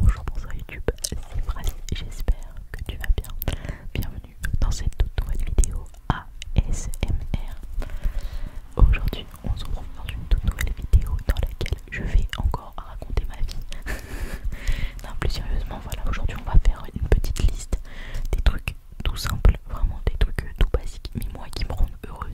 Bonjour, bonsoir YouTube, c'est j'espère que tu vas bien. Bienvenue dans cette toute nouvelle vidéo ASMR. Aujourd'hui, on se retrouve dans une toute nouvelle vidéo dans laquelle je vais encore raconter ma vie. non, plus sérieusement, voilà, aujourd'hui on va faire une petite liste des trucs tout simples, vraiment des trucs tout basiques, mais moi qui me rendent heureuse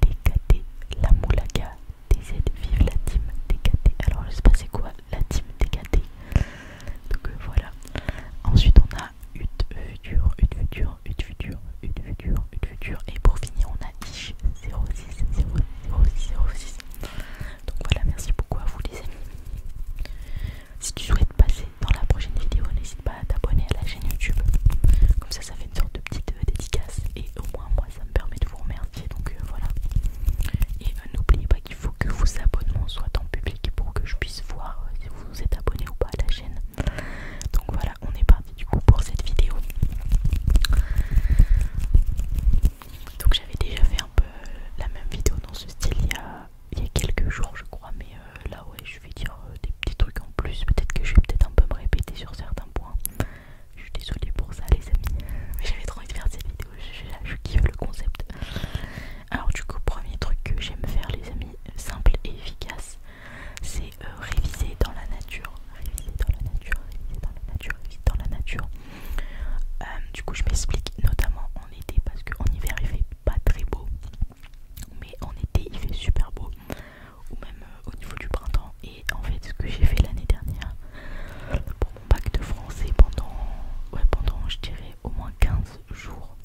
TKT, la Moulaga, DZ vive la team TKT. Alors je sais pas c'est quoi la team dégaté Donc euh, voilà. Ensuite on a UT euh, Futur, UT future UT future UT Futur, Et pour finir on a ISH 060006. Donc voilà, merci beaucoup à vous les amis. Si tu souhaites passer dans la prochaine vidéo, n'hésite pas à t'abonner à la chaîne YouTube. Comme ça, ça fait une sorte de petite euh, dédicace. Et au moins, moi, ça me permet de vous remercier. Donc euh, voilà. Et euh, n'oubliez pas qu'il faut que vos abonnements soient en public pour que je puisse voir si vous vous êtes abonné ou pas à la chaîne. Donc voilà, on est parti du coup pour cette vidéo. Donc j'avais déjà fait un peu la même vidéo dans ce style il y a, il y a quelques jours je crois mais là ouais je vais dire euh, des petits trucs en plus. Peut-être que je vais peut-être un peu me répéter sur certains points. Je suis désolée pour ça, les amis. Mais j'avais trop envie de faire cette vidéo. Je, kiffe le concept. Alors, du coup, premier truc que j'aime faire, les amis, simple et efficace, c'est euh, réviser dans la nature. Réviser dans la nature, réviser dans la nature, réviser dans la nature. Euh, du coup, je m'explique notamment en été parce qu'en hiver il fait pas très beau, mais en été il fait super beau ou même euh, au niveau du printemps. Et en fait, ce que j'ai fait l'année dernière pour mon bac de français pendant, ouais, pendant je dirais au moins 15 jours,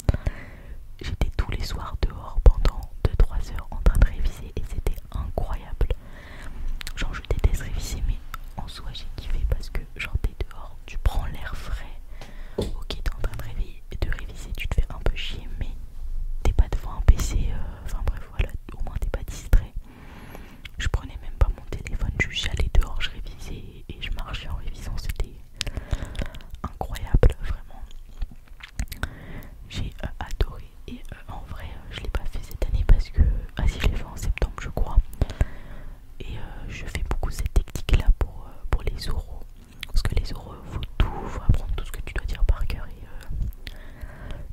j'étais tous les soirs dehors pendant 2-3 heures en train de réviser et c'était incroyable. Genre, je déteste réviser, mais en soi, j'ai kiffé parce que, genre, t'es dehors, tu prends l'air frais. Ok, t'es en train de réveiller, de réviser, tu te fais un peu chier, mais t'es pas devant un PC, euh, enfin bref, voilà, au moins t'es pas distrait. Je prenais même pas mon téléphone, j'allais dehors, je révisais et je marchais en révisant, c'était incroyable, vraiment. J'ai euh, adoré et euh, en vrai, je l'ai pas fait cette année parce que, ah si, je l'ai fait en septembre, je crois. Et je fais beaucoup cette technique là pour, pour les oraux. Parce que les il faut tout, faut apprendre tout ce que tu dois dire par cœur. Euh,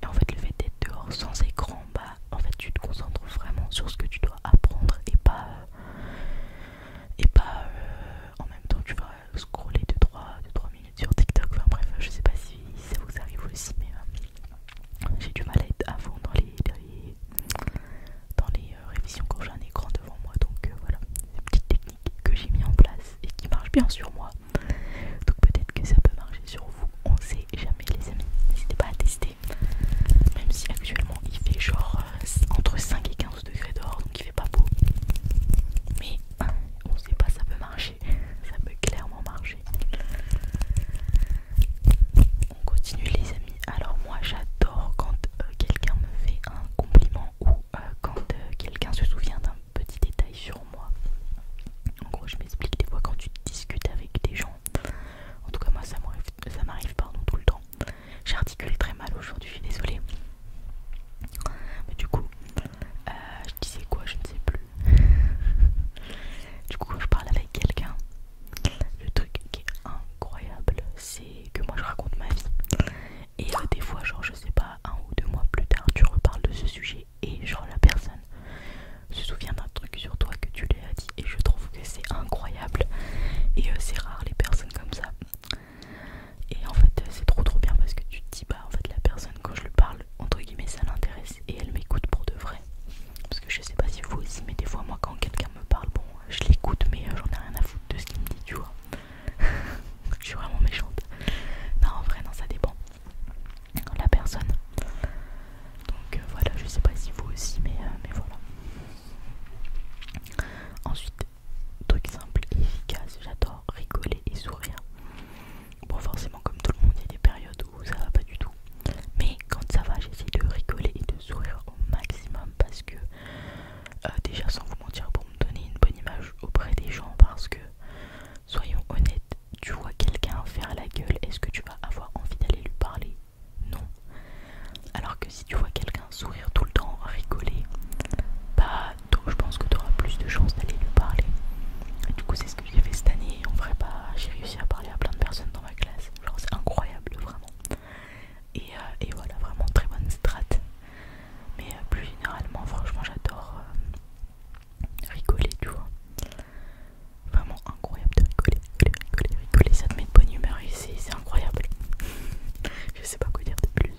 et, en fait, le fait d'être dehors sans écran, bah, en fait, tu te concentres vraiment sur ce que tu dois apprendre et pas. Euh, et pas. Euh, en même temps, tu vas scroller 2 3, minutes sur TikTok. Enfin, bref, je sais pas si, ça vous arrive aussi, mais j'ai du mal à être à fond dans les. Dans les, révisions quand j'ai un écran devant moi, donc voilà, c'est une petite technique que j'ai mis en place et qui marche bien sur moi. Donc peut-être que ça peut marcher sur vous, on sait jamais les amis. N'hésitez pas à tester. Même si actuellement il fait genre euh, entre 5 et 15 degrés dehors, donc il fait pas beau. Mais euh, on sait pas, ça peut marcher. Ça peut clairement marcher. On continue les amis. Alors moi j'adore quand euh, quelqu'un me fait un compliment ou euh, quand euh, quelqu'un se souvient d'un petit détail sur moi. En gros, je m'explique des fois quand tu discutes avec des gens. En tout cas, moi, ça m'arrive pardon tout le temps. J'articule très mal aujourd'hui, je suis désolée. Mais du coup, euh, je disais quoi, je ne sais plus. du coup, quand je parle avec quelqu'un, le truc qui est incroyable, c'est que moi je raconte ma vie. Et euh, des fois, genre, je sais pas, un ou deux mois plus tard, tu reparles de ce sujet et genre la personne se souvient d'un truc sur toi que tu lui as dit. Et je trouve que c'est incroyable. Et euh, c'est rare les personnes comme ça. Et en fait, euh, c'est trop trop bien parce que tu te dis, bah en fait, la personne, quand je lui parle, entre guillemets, ça l'intéresse et elle m'écoute pour de vrai. Parce que je sais pas si vous aussi, mais des fois, moi, quand quelqu'un me parle, bon, je l'écoute, mais j'en ai rien à foutre de ce qu'il me dit, tu vois. je suis vraiment méchante. Non, en vrai, non, ça dépend la personne. Donc euh, voilà, je sais pas si vous aussi, mais, euh, mais voilà. Ensuite, truc simple et efficace, j'adore rigoler et sourire. Bon, forcément, comme tout le monde, il y a des périodes où ça va pas du tout. Mais quand ça va, j'essaie de rigoler et de sourire au maximum parce que euh, déjà sans vous mentir pour me donner une bonne image auprès des gens parce que soyons honnêtes tu vois quelqu'un faire la gueule est-ce que tu vas avoir envie d'aller lui parler non alors que si tu vois quelqu'un sourire tout le temps rigoler bah je pense que tu auras plus de chance d'aller lui parler du coup c'est ce que j'ai fait cette année en vrai pas bah, j'ai réussi à parler à plein de personnes dans ma classe genre c'est incroyable vraiment euh, et, voilà, vraiment très bonne strat. Mais euh, plus généralement, franchement, j'adore euh, rigoler, tu vois. Vraiment incroyable de rigoler, rigoler, rigoler, Ça te met de bonne humeur ici, c'est incroyable. Je sais pas quoi dire de plus.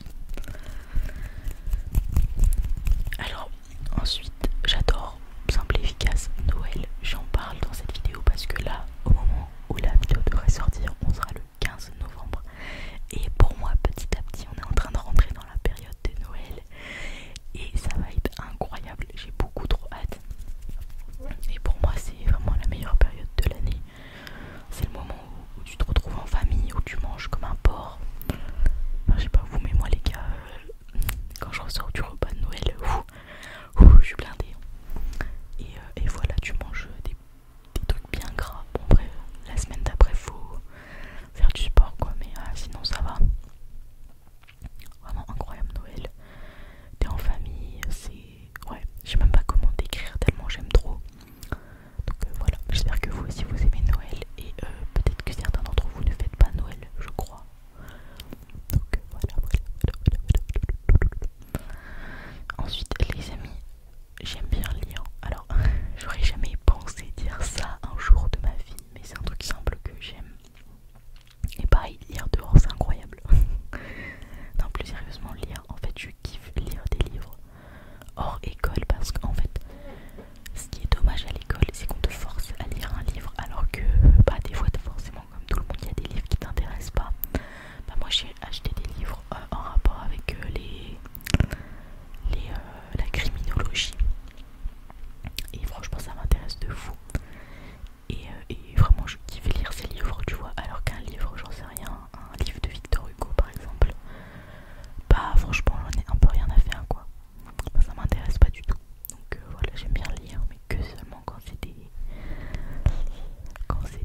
Alors, ensuite, j'adore simple efficace Noël. J'en parle dans cette vidéo parce que là, au moment où la vidéo devrait sortir, on sera le 15 novembre. Et pour moi, petit à petit, on est en train de rentrer dans la période de Noël. Et ça va être incroyable. J'ai beaucoup trop hâte. Et pour moi, c'est vraiment la meilleure période de l'année. C'est le moment où, tu te retrouves en famille, où tu manges comme un porc. j'ai je sais pas vous, mais moi, les gars, euh, quand je ressors du repas de Noël, ou je suis blindée. Euh, et voilà, tu manges des des trucs bien gras. Bon, bref, la semaine d'après, faut faire du sport quoi, mais ah, sinon ça va. Vraiment incroyable Noël. T'es en famille, c'est. Ouais, je sais même pas comment décrire tellement j'aime trop. Donc euh, voilà, j'espère que vous aussi vous aimez Noël et euh, peut-être que certains d'entre vous ne fêtent pas Noël, je crois. Donc voilà, voilà, voilà, voilà, voilà. Ensuite, les amis, j'aime bien lire. Alors, j'aurais jamais pensé dire ça un jour de ma vie, mais c'est un truc simple que j'aime. Et pareil, lire dehors, c'est incroyable. non, plus sérieusement, lire, en fait, je kiffe lire des livres hors école parce qu'en fait, ce qui est dommage à l'école, c'est qu'on te force à lire un livre alors que, bah, des fois, forcément, comme tout le monde, il y a des livres qui t'intéressent pas bah moi j'ai acheté des livres euh, en rapport avec euh, les, euh, la criminologie et franchement ça m'intéresse de fou et, vraiment je kiffe lire ces livres tu vois alors qu'un livre j'en sais rien un livre de Victor Hugo par exemple bah franchement j'en ai un peu rien à faire quoi ça m'intéresse pas du tout donc voilà j'aime bien lire mais que seulement quand c'est des quand c'est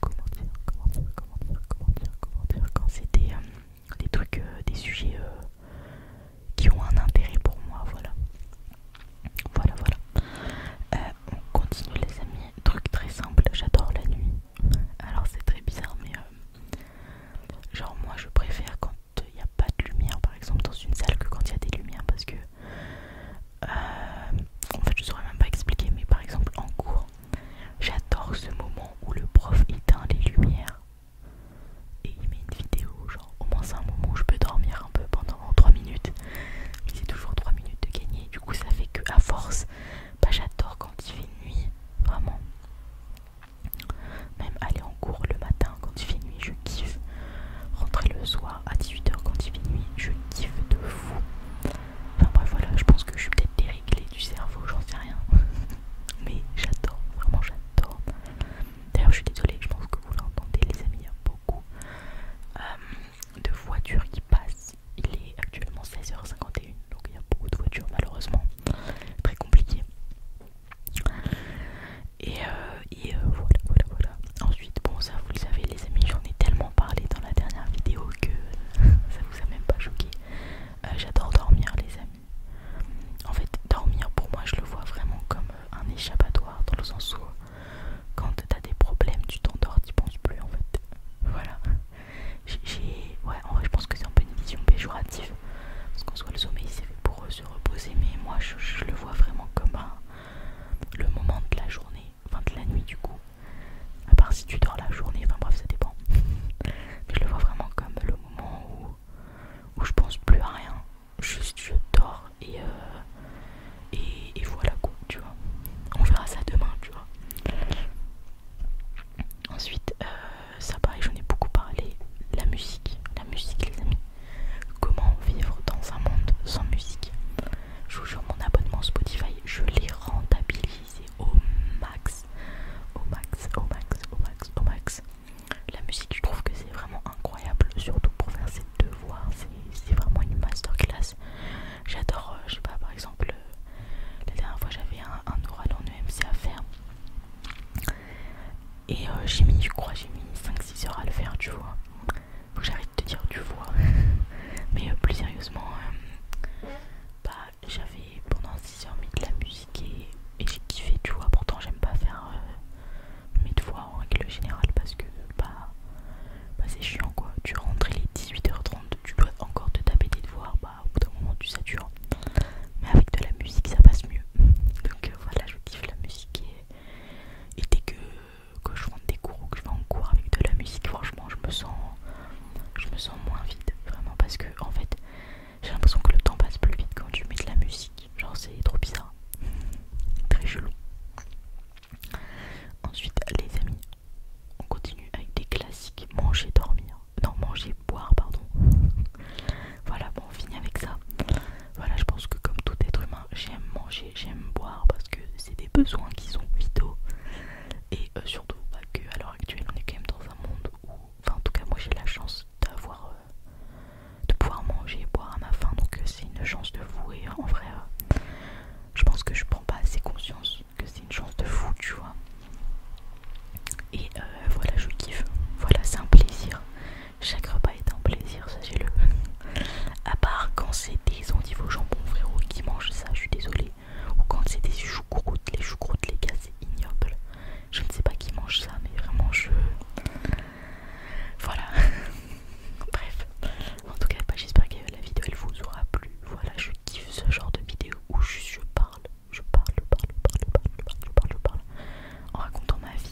comment dire, comment dire, comment dire, comment dire, comment quand c'est des, euh, trucs, euh, des sujets euh, qui ont un intérêt pour moi, voilà. Voilà, voilà. on continue les amis, truc très simple, j'adore la nuit. Alors c'est très bizarre, mais genre moi je préfère quand il n'y a pas de lumière, par exemple dans une salle, que quand il y a des lumières, parce que euh, en fait je saurais même pas expliquer mais par exemple en cours j'adore ce moment où le prof éteint les lumières et il met une vidéo genre au moins c'est un moment où je peux dormir un peu pendant 3 minutes mais c'est toujours 3 minutes de gagner du coup ça fait que à force bah j'adore quand il fait nuit vraiment même aller en cours le matin quand il fait nuit je kiffe rentrer le soir à 18h quand il fait nuit, je kiffe de fou. Enfin bref voilà, je pense que je suis peut-être déréglé du cerveau, j'en sais rien. Mais j'adore, vraiment j'adore. D'ailleurs je suis désolée, je pense que vous l'entendez les amis, il y a beaucoup euh, de voitures qui passent. Il est actuellement 16h51, donc il y a beaucoup de voitures malheureusement. Très compliqué. Et, euh, euh, voilà, voilà, voilà ensuite, bon, ça vous le savez, les amis, j'en ai tellement parlé dans la dernière vidéo que ça vous a même pas choqué. Euh, j'adore dormir, les amis. En fait, dormir pour moi, je le vois vraiment comme euh, un échappatoire dans le sens où quand t'as des problèmes, tu t'endors, tu penses plus en fait. Voilà. J'ai. Ouais, en vrai, je pense que c'est un peu une vision péjorative. Parce qu'en soit le sommeil, c'est fait pour euh, se reposer. Mais moi, je, le vois vraiment comme un, le moment de la journée enfin de la nuit du coup, à part si tu dors la journée, enfin bref ça dépend. Mais je le vois vraiment comme le moment où, je pense plus à rien, juste je dors euh, et, et, voilà quoi, tu vois. On verra ça demain, tu vois. Ensuite, euh, ça pareil, j'en ai beaucoup parlé, la musique, la musique les amis. Comment vivre dans un monde sans musique je vous jure, mon abonnement Spotify, je l'ai rentabilisé au max. Au max, au max, au max, au max. La musique, je trouve que c'est vraiment incroyable, surtout pour faire ses devoirs. C'est vraiment une masterclass. J'adore, euh, je sais pas, par exemple, euh, la dernière fois j'avais un, oral en EMC à faire. Et euh, j'ai mis, je crois, j'ai mis 5-6 heures à le faire, tu vois. Faut j'arrête de dire du voix. Mais euh, plus sérieusement, euh, bah, j'avais pendant 6 heures mis de la musique et, j'ai kiffé, tu vois. Pourtant, j'aime pas faire euh, mes devoirs en règle générale parce que bah, bah, c'est chiant quoi. Tu rentres, il est 18h30, tu dois encore te taper des devoirs. Bah, au bout d'un moment, tu satures. Mais avec de la musique, ça passe mieux. Donc voilà, je kiffe la musique et, et dès que que je rentre des cours ou que je vais en cours avec de la musique, franchement, je me sens, je me sens moins vide, vraiment, parce que en fait, j'ai l'impression que le temps passe plus vite quand tu mets de la musique. Genre, c'est trop bizarre, très chelou. Ensuite, les amis, on continue avec des classiques manger, dormir, non, manger, boire, pardon. voilà, bon, on finit avec ça. Voilà, je pense que comme tout être humain, j'aime manger j'aime boire parce que c'est des besoins qui sont vitaux et euh, surtout pas que à l'heure actuelle on est quand même dans un monde où en tout cas moi j'ai la chance d'avoir euh, de pouvoir manger et boire à ma faim donc euh, c'est une chance de fou et hein, en vrai je pense que je prends pas assez conscience que c'est une chance de fou tu vois et voilà je kiffe voilà c'est un plaisir chaque repas est un plaisir, sachez-le. à part quand c'est des endives au jambon, frérot, qui mangent ça, je suis désolée. Ou quand c'est des choucroutes, les choucroutes, les gars, c'est ignoble. Je ne sais pas qui mange ça, mais vraiment, je. Voilà. Bref. En tout cas, bah, j'espère que la vidéo elle vous aura plu. Voilà, je kiffe ce genre de vidéo où je parle, je parle, je parle, je parle, je parle, je parle, je parle, je parle, en racontant ma vie